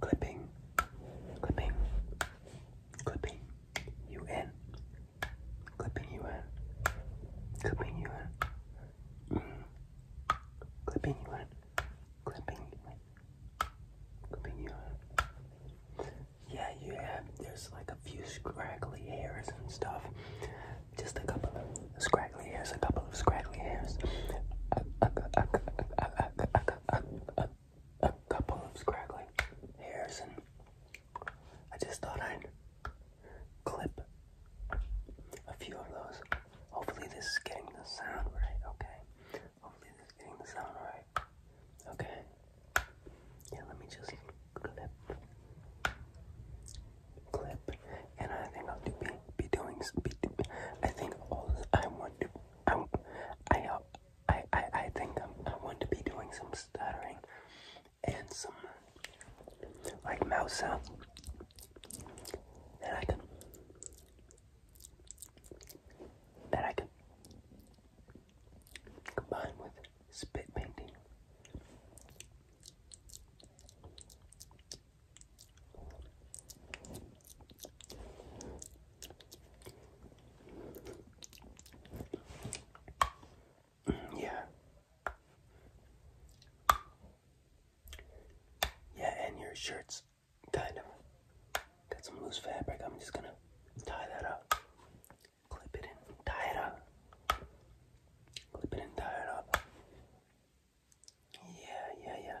clipping, clipping, clipping you in, clipping you in, clipping you in, clipping you in, clipping you in, clipping you in. Yeah, you have, there's like a few scraggly hairs and stuff. Just a couple of scraggly hairs, a couple of scraggly hairs a couple of scraggly hairs, and I just thought I'd clip a few of those. Hopefully, this is getting the sound right, okay? Hopefully, this is getting the sound right, okay? Yeah, let me just clip, clip, and I think I'll do, be, be doing, be, I think all I want to I'm, I, I, I, I think I'm, I want to be doing some stuttering and some like mouth sounds that I can that I can combine with spit painting. Yeah. Yeah, and your shirt's kind of got some loose fabric. I'm just gonna tie that up. Clip it in, tie it up. Clip it and tie it up. Yeah, yeah, yeah.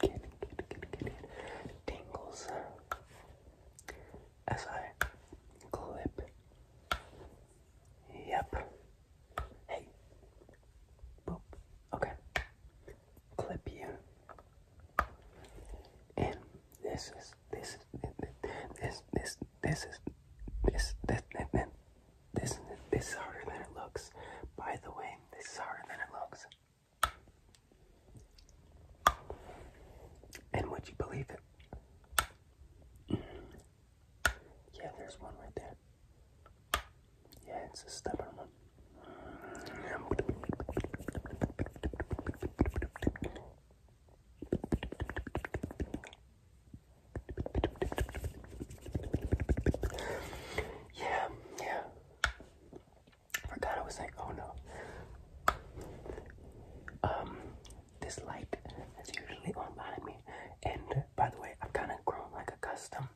get, get, get, get, get tingles as I clip. Yep. Hey. Boop. Okay. Clip you. And this is this is this this this is this this this this is harder than it looks. By the way, this is harder than it looks. And would you believe it? Yeah, there's one right there. Yeah, it's a stubborn one. Yeah, yeah forgot I was like, Oh no. Um, this light is usually on behind me, and by the way, i am kind of grown like accustomed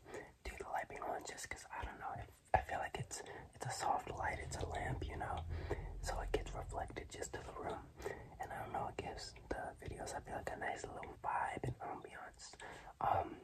to the light being on, just because I don't know. If, I feel like it's it's a soft light, it's a lamp, you know, so it gets reflected just to the room, and I don't know, it gives the videos I feel like a nice little vibe and ambiance. Um,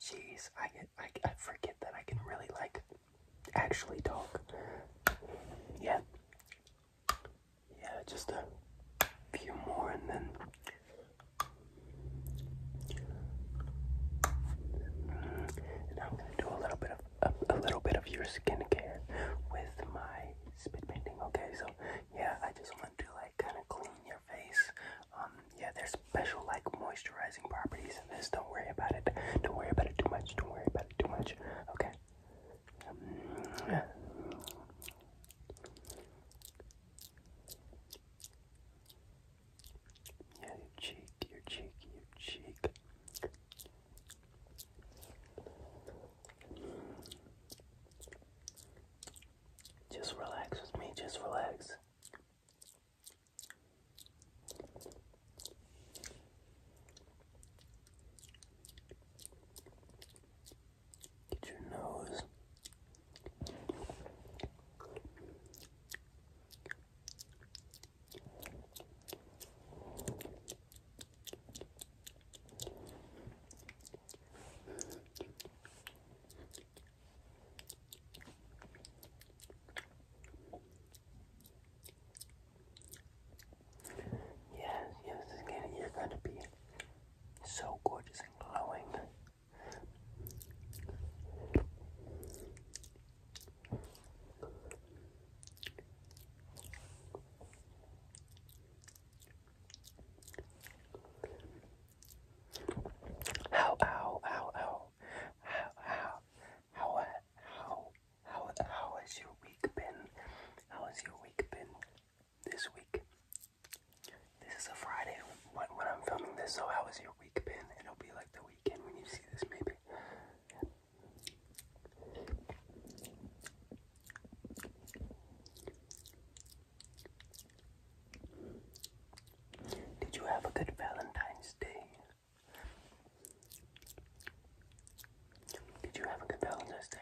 Jeez, I get I, I forget that I can really like actually talk. Yeah. Yeah, just a few more and then and mm, I'm gonna do a little bit of a, little bit of your skincare with my spit painting. Okay, so yeah, I just want to like kind of clean your face. Um, yeah, there's special like moisturizing properties in this. Don't worry about it. Don't worry about it too much. Don't worry about it too much. Okay. yeah, your cheek, your cheek, your cheek. Just relax with me, just relax. Get your nose. Yes, yes, you're going to be so gorgeous and glowing. Ow, ow, ow, ow how how how how how how has your week been? How has your week been this week? This is a Friday when, when I'm filming this, so how has your week been? It'll be like the weekend when you see this, maybe. Did you have a good Valentine's Day? Did you have a good Day?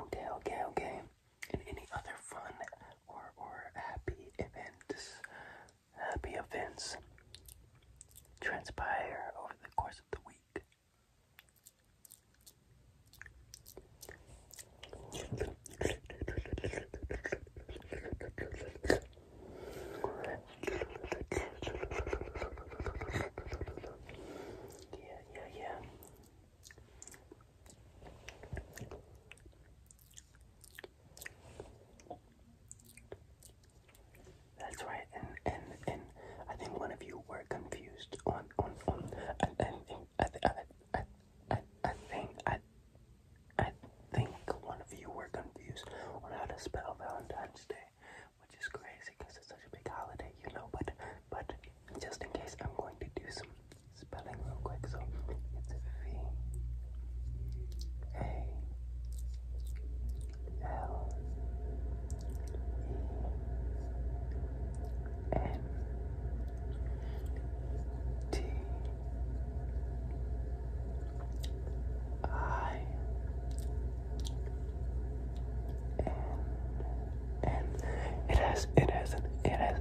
Okay, okay, okay. And any other fun or or happy events happy events transpire over the course of the week. Yeah, yeah, yeah. That's right, and and and I think one of you were confused on on on. I, I think I, I, I, I think I I think one of you were confused on how to spell Valentine's Day, which is crazy because it's such a big holiday, you know. But but just in case, I'm going to do some spelling real quick. So it's V A L E N T I N N. It has it has it has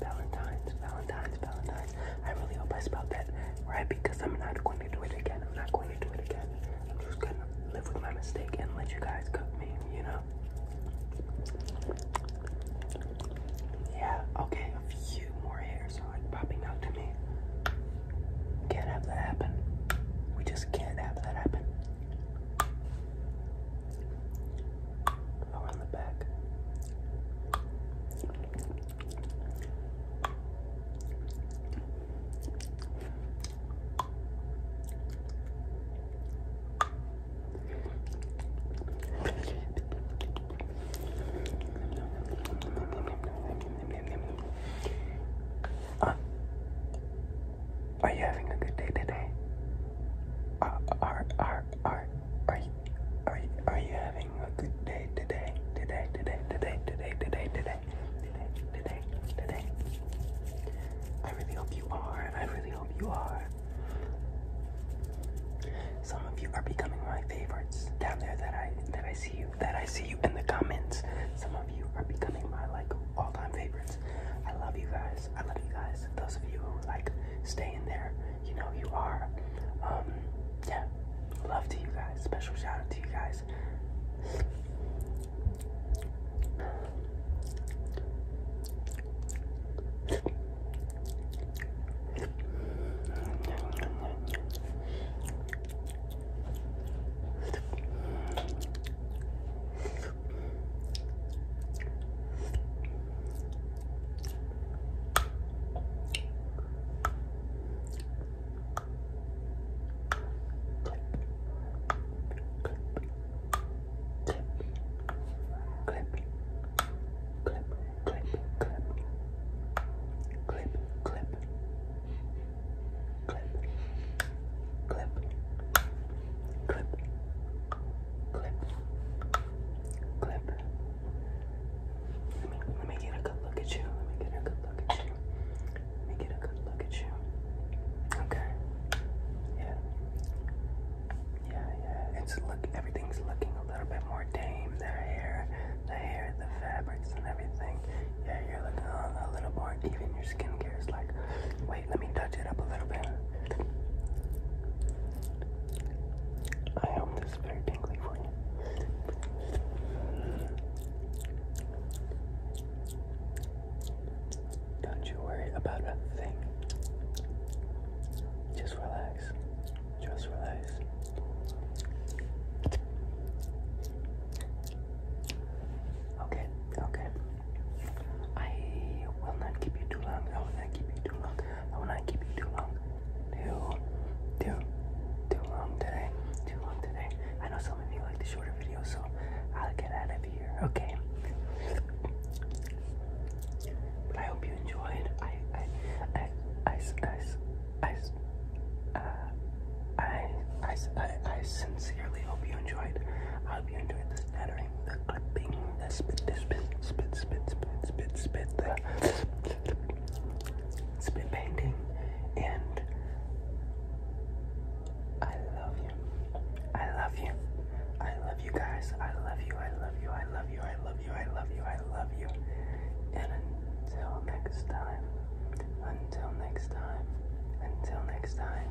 Valentine's, Valentine's, Valentine's. I really hope I spelled that right because I'm not going to do it again. I'm not going to do it again. I'm just going to live with my mistake and let you guys cook me, you know? Yeah, okay, a few more hairs are popping out to me. Can't have that happen. We just can't have that happen around the back. Uh, are you having a good day today? Uh, are, are are are are are you, having a good day today? Today, today, today, today, today, today, today, today, today. I really hope you are. I really hope you are. Some of you are becoming my favorites down there that I that I see you that I see you in the comments. Some of you are becoming my like all-time favorites. I love you guys. I love you guys. Those of you who like stay in there. You know you are. Um, yeah, love to you guys. Special shout out to you guys clip, clip, clip. Let me, let me get a good look at you. Let me get a good look at you. Let me get a good look at you. Okay. Yeah. Yeah, yeah. It's look. Everything's looking a little bit more tame. The hair, the hair, the fabrics, and everything. Yeah, you're looking a, a little more even. Your skincare is like let me touch it up a little bit. I hope this is very tingly for you. Don't you worry about a thing. Just relax. Just relax. Okay, okay. I will not keep you too long. I will not keep you too long. I will not keep you too long. Too, too, too long today. Too long today. I know some of you like the shorter videos, so I'll get out of here. Okay. I hope you enjoyed. I, I, I, I, I, uh, I, I, I, I, sincerely hope you enjoyed. I hope you enjoyed this lettering the clipping, the spit, the spit, spit, spit, spit, spit, spit, the spit painting, and I love you. I love you. I love you guys. I love you. I love you. I love you. I love you. I love you. I love you. And until next time. Until next time. Until next time.